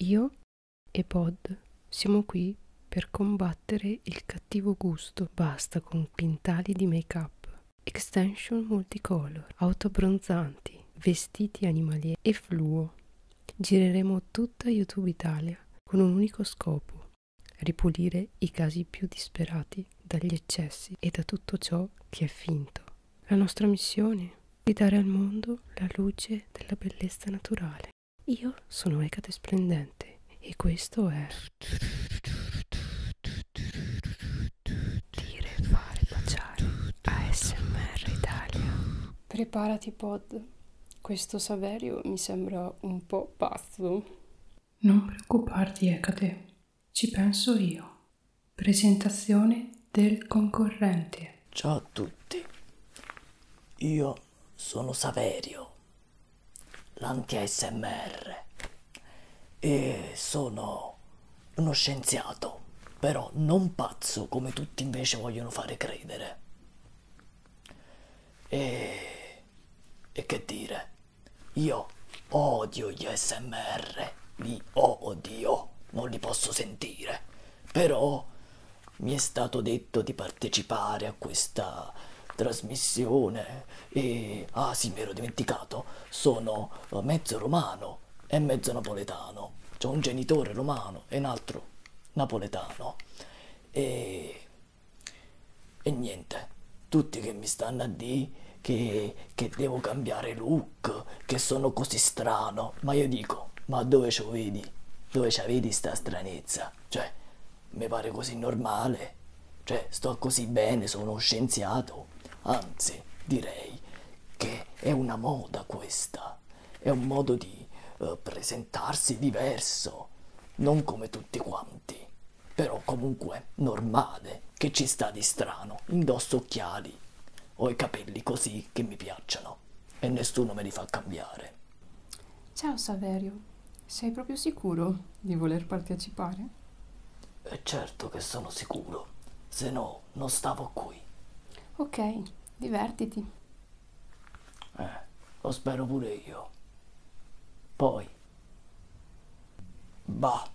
Io e Pod siamo qui per combattere il cattivo gusto. Basta con quintali di make-up, extension multicolor, autobronzanti, vestiti animalieri e fluo. Gireremo tutta YouTube Italia con un unico scopo, ripulire i casi più disperati dagli eccessi e da tutto ciò che è finto. La nostra missione di dare al mondo la luce della bellezza naturale. Io sono Ecate Splendente e questo è... Dire, fare, baciare. ASMR Italia. Preparati pod. Questo Saverio mi sembra un po' pazzo. Non preoccuparti, Ecate. Ci penso io. Presentazione del concorrente. Ciao a tutti, io sono Saverio, l'anti-ASMR, e sono uno scienziato, però non pazzo come tutti invece vogliono fare credere. E, e che dire, io odio gli ASMR, li odio, non li posso sentire, però mi è stato detto di partecipare a questa trasmissione e ah sì mi ero dimenticato sono eh, mezzo romano e mezzo napoletano c'è un genitore romano e un altro napoletano e, e niente tutti che mi stanno a dire che, che devo cambiare look che sono così strano ma io dico dico, ma dove ci vedi? Dove ci vedi sta stranezza? Cioè, mi pare così normale. Cioè, sto così bene, sono uno scienziato. Anzi, direi che è una moda questa. È un modo di eh, presentarsi diverso. Non come tutti quanti. Però comunque normale. Che ci sta di strano. Indosso occhiali. Ho i capelli così che mi piacciono ho e nessuno me li fa cambiare. Ciao Saverio, sei proprio sicuro di voler partecipare? È eh, certo che sono sicuro, se no non stavo qui. Ok, divertiti. Eh, lo spero pure io. Poi... Bah.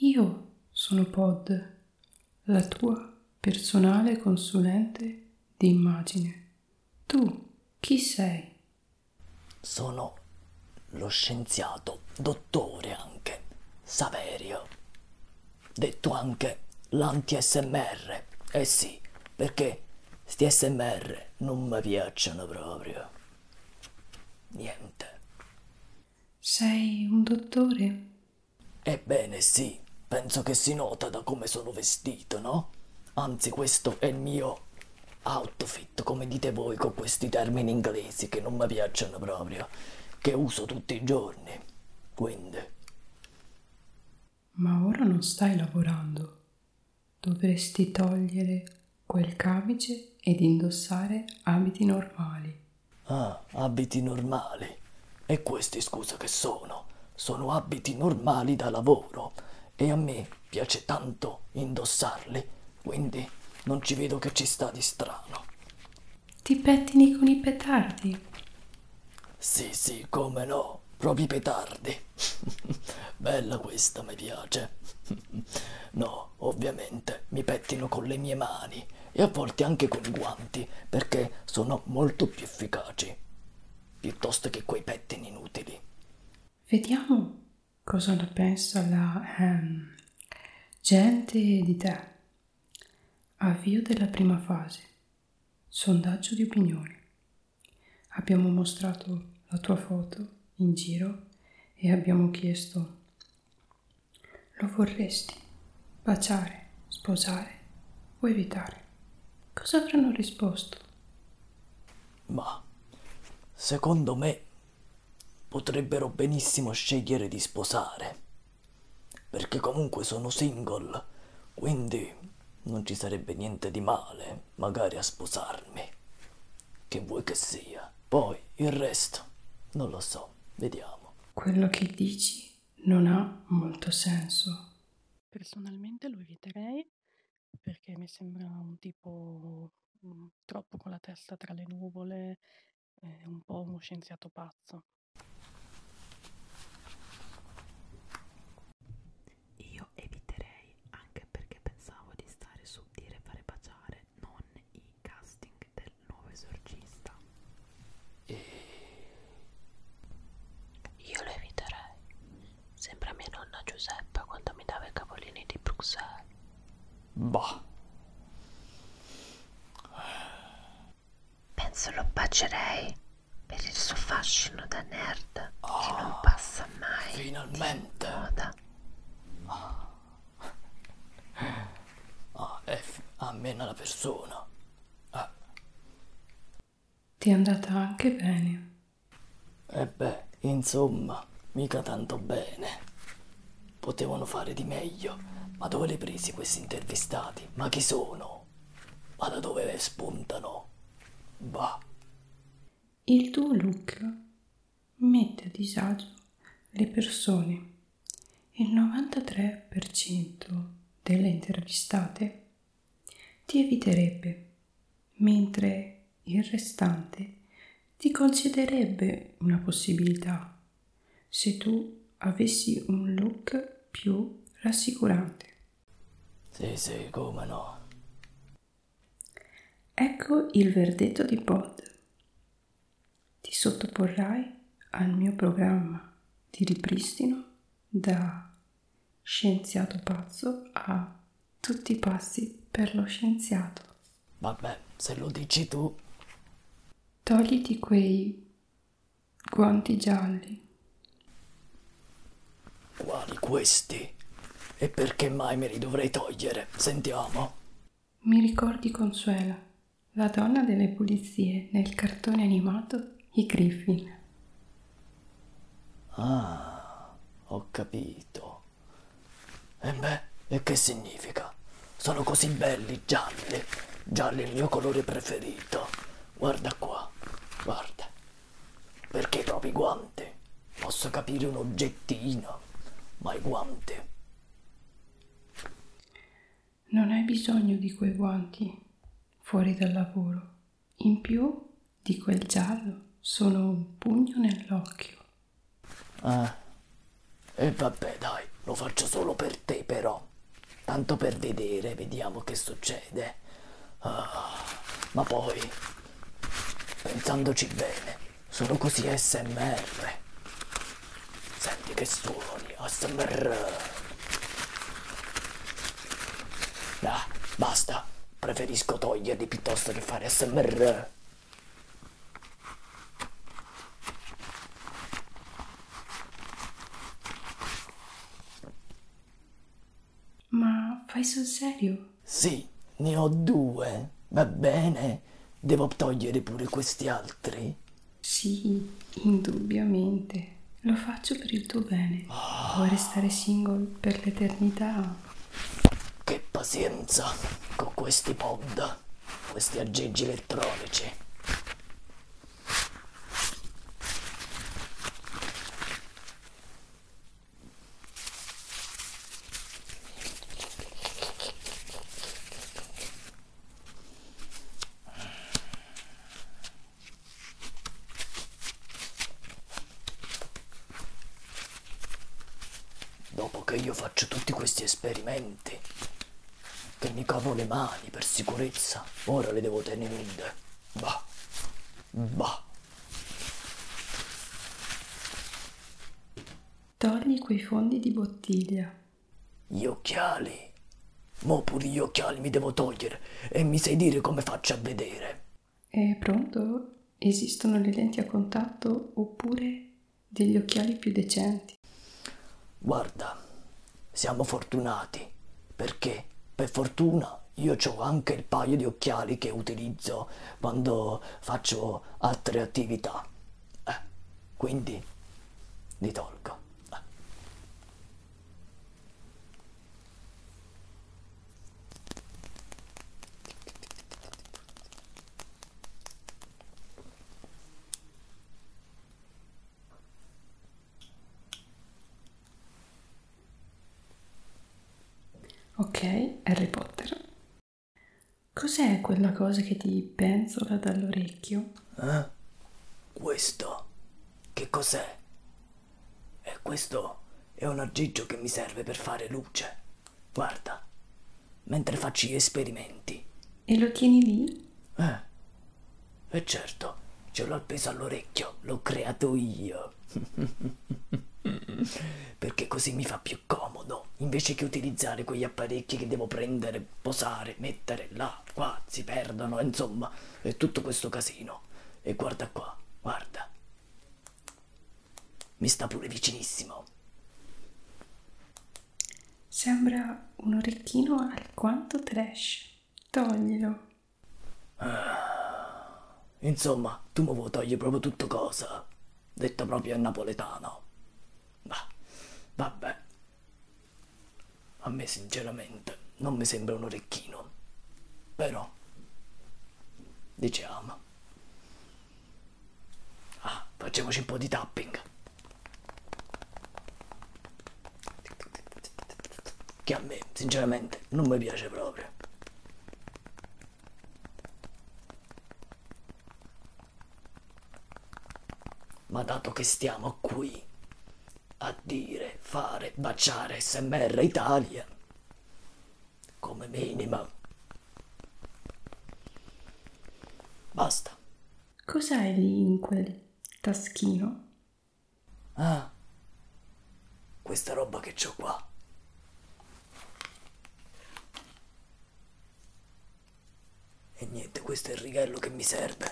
Io sono Pod, la tua personale consulente di immagine. Tu chi sei? Sono lo scienziato, dottore anche, Saverio detto anche l'anti-SMR. Eh sì, perché sti SMR non mi piacciono proprio. Niente. Sei un dottore? Ebbene sì, penso che si nota da come sono vestito, no? Anzi, questo è il mio outfit, come dite voi con questi termini inglesi che non mi piacciono proprio, che uso tutti i giorni donne, Gwen. Ma ora non stai lavorando. Dovresti togliere quel camice ed indossare abiti normali. Ah, abiti normali. E questi scusa che sono? Sono abiti normali da lavoro e a me piace tanto indossarli, quindi non ci vedo che ci sta di strano. Ti pettini con i petardi? Sì, sì, come no, proprio i petardi. Bella questa, mi piace. no, ovviamente mi pettino con le mie mani e a volte anche con i guanti perché sono molto più efficaci piuttosto che quei pettini inutili. Vediamo cosa ne pensa la ehm, gente di te. Avvio della prima fase. Sondaggio di opinioni. Abbiamo mostrato la tua foto in giro e abbiamo chiesto lo vorresti baciare, sposare o evitare? Cosa avranno risposto? Ma secondo me potrebbero benissimo scegliere di sposare. Perché comunque sono single, quindi non ci sarebbe niente di male magari a sposarmi. Che vuoi che sia. Poi il resto, non lo so, vediamo. Quello che dici non ha molto senso. Personalmente lo eviterei perché mi sembra un tipo mm, troppo con la testa tra le nuvole è un po' uno scienziato pazzo. Io eviterei anche perché pensavo di stare su dire fare baciare, non i casting del nuovo esorcista. Io lo eviterei. Sembra mia nonna Giuseppa quando mi dava i cavolini di Bruxelles. Boh. Penso lo bacerei per il suo fascino da nerd oh, che ah, non passa mai. Finalmente! Moda. Oh. Oh, è ammena la persona. Ah. Ti è andata anche bene. E eh beh, insomma, mica tanto bene. Potevano fare di meglio. Ma dove li presi questi intervistati? Ma chi sono? Ma da dove spuntano? Bah. Il tuo look mette a disagio le persone. Il 93% delle intervistate ti eviterebbe, mentre il restante ti concederebbe una possibilità se tu avessi un look più rassicurante. Sì, sì, come no. Ecco il verdetto di Pod. Ti sottoporrai al mio programma di ripristino da scienziato pazzo a tutti i passi per lo scienziato. Vabbè, se lo dici tu. Togliti quei guanti gialli. Quali questi? E perché mai me li dovrei togliere? Sentiamo. Mi ricordi Consuela, la donna delle pulizie nel cartone animato I Griffin. Ah, ho capito. E beh, e che significa? Sono così belli, gialli. Gialli è il mio colore preferito. Guarda qua, guarda. Perché proprio i guanti? Posso capire un oggettino, ma i guanti. Non hai bisogno di quei guanti fuori dal lavoro. In più di quel giallo sono un pugno nell'occhio. Eh. E eh, vabbè dai, lo faccio solo per te però. Tanto per vedere, vediamo che succede. Ah, ma poi, pensandoci bene, sono così SMR. Senti che suoni, ASMR. Ah, basta, preferisco toglierli piuttosto che fare SMR. Ma fai sul serio? Sì, ne ho due, va bene? Devo togliere pure questi altri? Sì, indubbiamente. Lo faccio per il tuo bene. Oh. Vuoi restare single per l'eternità? Che pazienza con questi pod questi aggeggi elettronici. Dopo che io faccio tutti questi esperimenti che mi cavo le mani per sicurezza. Ora le devo tenere nude. Bah. Bah. Togli quei fondi di bottiglia. Gli occhiali. Mo pure gli occhiali mi devo togliere e mi sai dire come faccio a vedere. È pronto? Esistono le lenti a contatto oppure degli occhiali più decenti. Guarda, siamo fortunati perché per fortuna io ho anche il paio di occhiali che utilizzo quando faccio altre attività. Eh, quindi li tolgo. Eh. Ok, Harry Potter. Cos'è quella cosa che ti penzola dall'orecchio? Eh? Questo? Che cos'è? E eh, questo è un aggeggio che mi serve per fare luce. Guarda, mentre faccio gli esperimenti. E lo tieni lì? Eh. E eh, certo, ce l'ho appeso all'orecchio, l'ho creato io. Perché così mi fa più comodo, invece che utilizzare quegli apparecchi che devo prendere, posare, mettere là, qua, si perdono, insomma, è tutto questo casino. E guarda qua, guarda. Mi sta pure vicinissimo. Sembra un orecchino alquanto trash. Toglilo. Ah, insomma, tu mi vuoi togliere proprio tutto cosa. Detto proprio in napoletano. Bah, vabbè. A me sinceramente non mi sembra un orecchino. Però, diciamo, Ah, facciamoci un po' di tapping. Che a me, sinceramente, non mi piace proprio. Ma dato che stiamo qui a dire, fare, baciare SMR Italia, come minimo Basta. Cos'hai lì in quel taschino? Ah, questa roba che ho qua. E niente, questo è il righello che mi serve.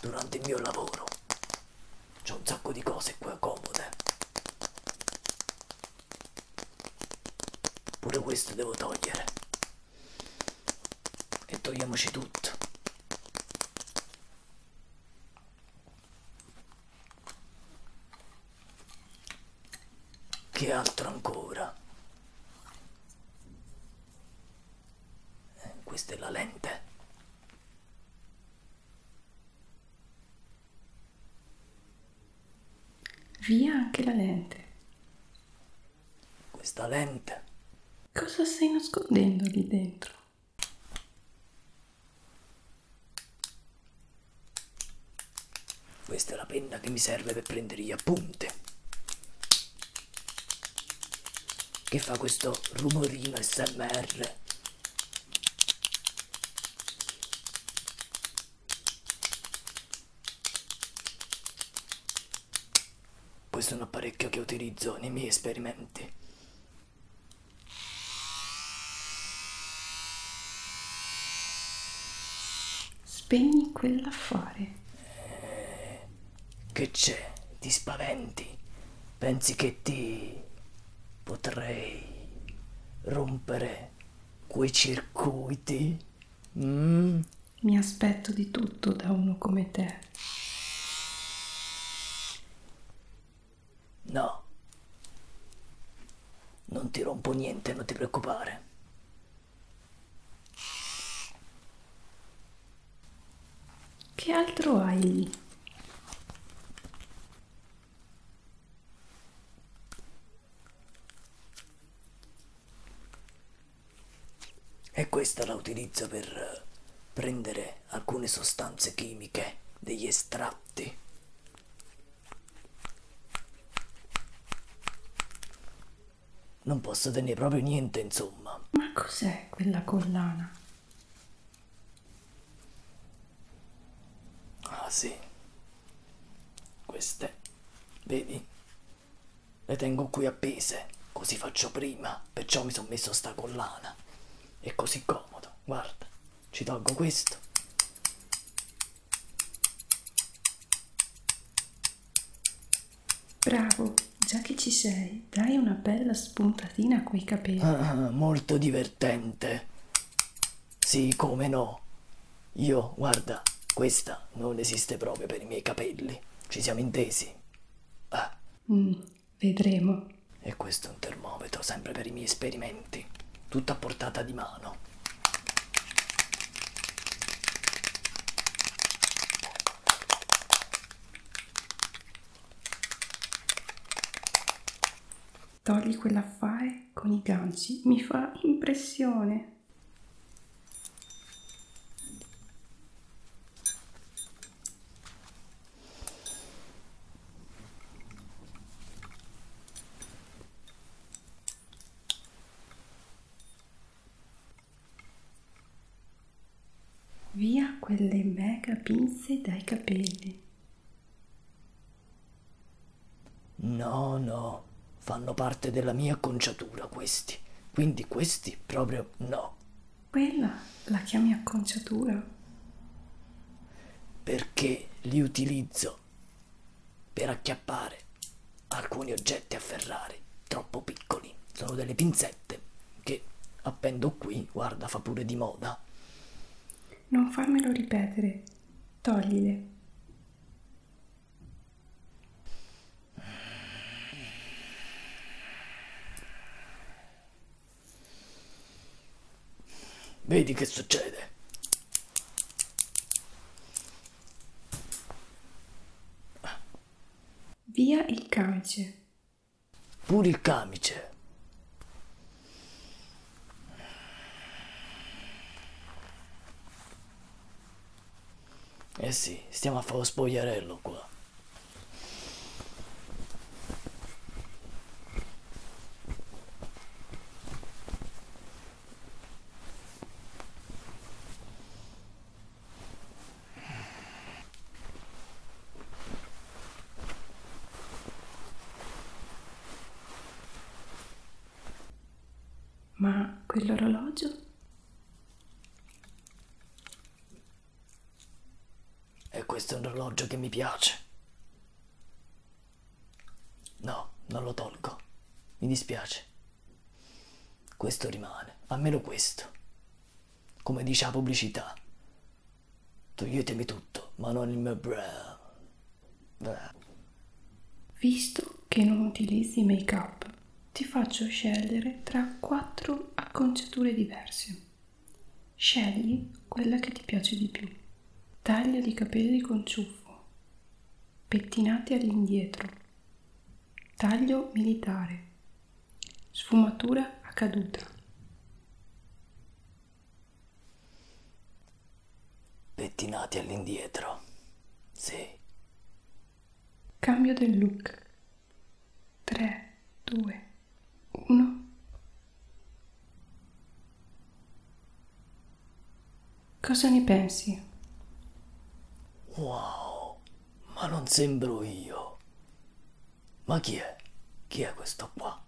Durante il mio lavoro. C'ho un sacco di cose qua comode. Pure questo devo togliere. E togliamoci tutto. Che altro ancora? Eh, questa è la lente. Via anche la lente. Questa lente. Cosa stai nascondendo lì dentro? Questa è la penna che mi serve per prendere gli appunti. Che fa questo rumorino SMR. Questo è un apparecchio che utilizzo nei miei esperimenti. Spegni quella fuori. Eh, che c'è? Ti spaventi? Pensi che ti potrei rompere quei circuiti. Mm. Mi aspetto di tutto da uno come te. No, non ti rompo niente, non ti preoccupare. Che altro hai lì? E questa la utilizzo per eh, prendere alcune sostanze chimiche, degli estratti. Non posso tenere proprio niente, insomma. Ma cos'è quella collana? Ah sì, queste, vedi, le tengo qui appese, così faccio prima, perciò mi sono messo sta collana. È così comodo, guarda, ci tolgo questo. Bravo, già che ci sei, dai una bella spuntatina a quei capelli. Ah, molto divertente. Sì, come no. Io, guarda, questa non esiste proprio per i miei capelli. Ci siamo intesi. Ah. Mm, vedremo. E questo è un termometro, sempre per i miei esperimenti. Tutto a portata di mano. Togli quell'affare con i ganci, mi fa impressione. Via quelle mega pinze dai capelli. No, no, fanno parte della mia acconciatura questi, quindi questi proprio no. Quella la chiami acconciatura? Perché li utilizzo per acchiappare alcuni oggetti afferrari troppo piccoli. Sono delle pinzette che appendo qui, guarda, fa pure di moda. Non farmelo ripetere, toglile. Vedi che succede. Via il camice. Pure il camice. Eh sì, stiamo a fare lo spogliarello qua. Ma quell'orologio? E questo è un orologio che mi piace. No, non lo tolgo. Mi dispiace. Questo rimane, almeno questo. Come dice la pubblicità. Toglietemi tutto, ma non il mio brand. Visto che non utilizzi make up, ti faccio scegliere tra quattro acconciature diverse. Scegli quella che ti piace di più. Taglio di capelli con ciuffo, pettinati all'indietro, taglio militare, sfumatura a caduta. Pettinati all'indietro. Sì. Cambio del look. 3, 2, 1. Cosa ne pensi? Wow, ma non sembro io. Ma chi è? Chi è questo qua?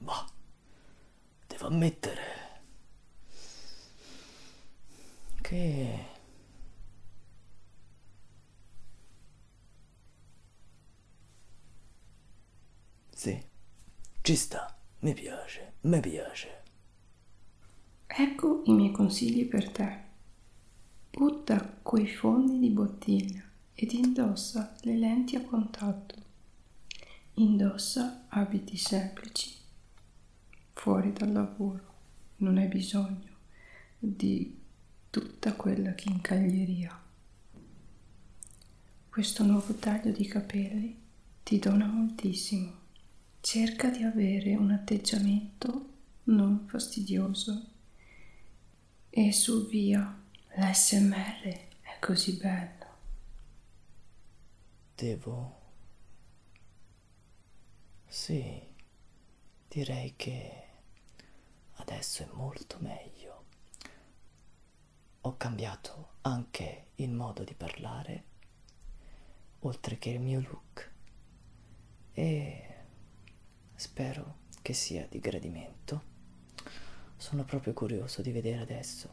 Bah, devo ammettere che sì, ci sta, mi piace, mi piace. Ecco i miei consigli per te. Butta quei fondi di bottiglia ed indossa le lenti a contatto Indossa abiti semplici fuori dal lavoro, non hai bisogno di tutta quella chincaglieria. Questo nuovo taglio di capelli ti dona moltissimo. Cerca di avere un atteggiamento non fastidioso e sul via L'ASMR è così bello. Devo... Sì, direi che adesso è molto meglio. Ho cambiato anche il modo di parlare, oltre che il mio look, e spero che sia di gradimento. Sono proprio curioso di vedere adesso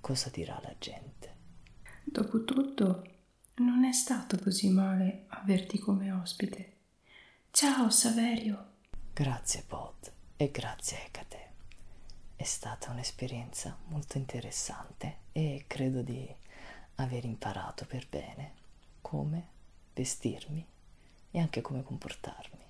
Cosa dirà la gente? Dopotutto, non è stato così male averti come ospite. Ciao Saverio! Grazie Pod e grazie Ecate. È stata un'esperienza molto interessante e credo di aver imparato per bene come vestirmi e anche come comportarmi.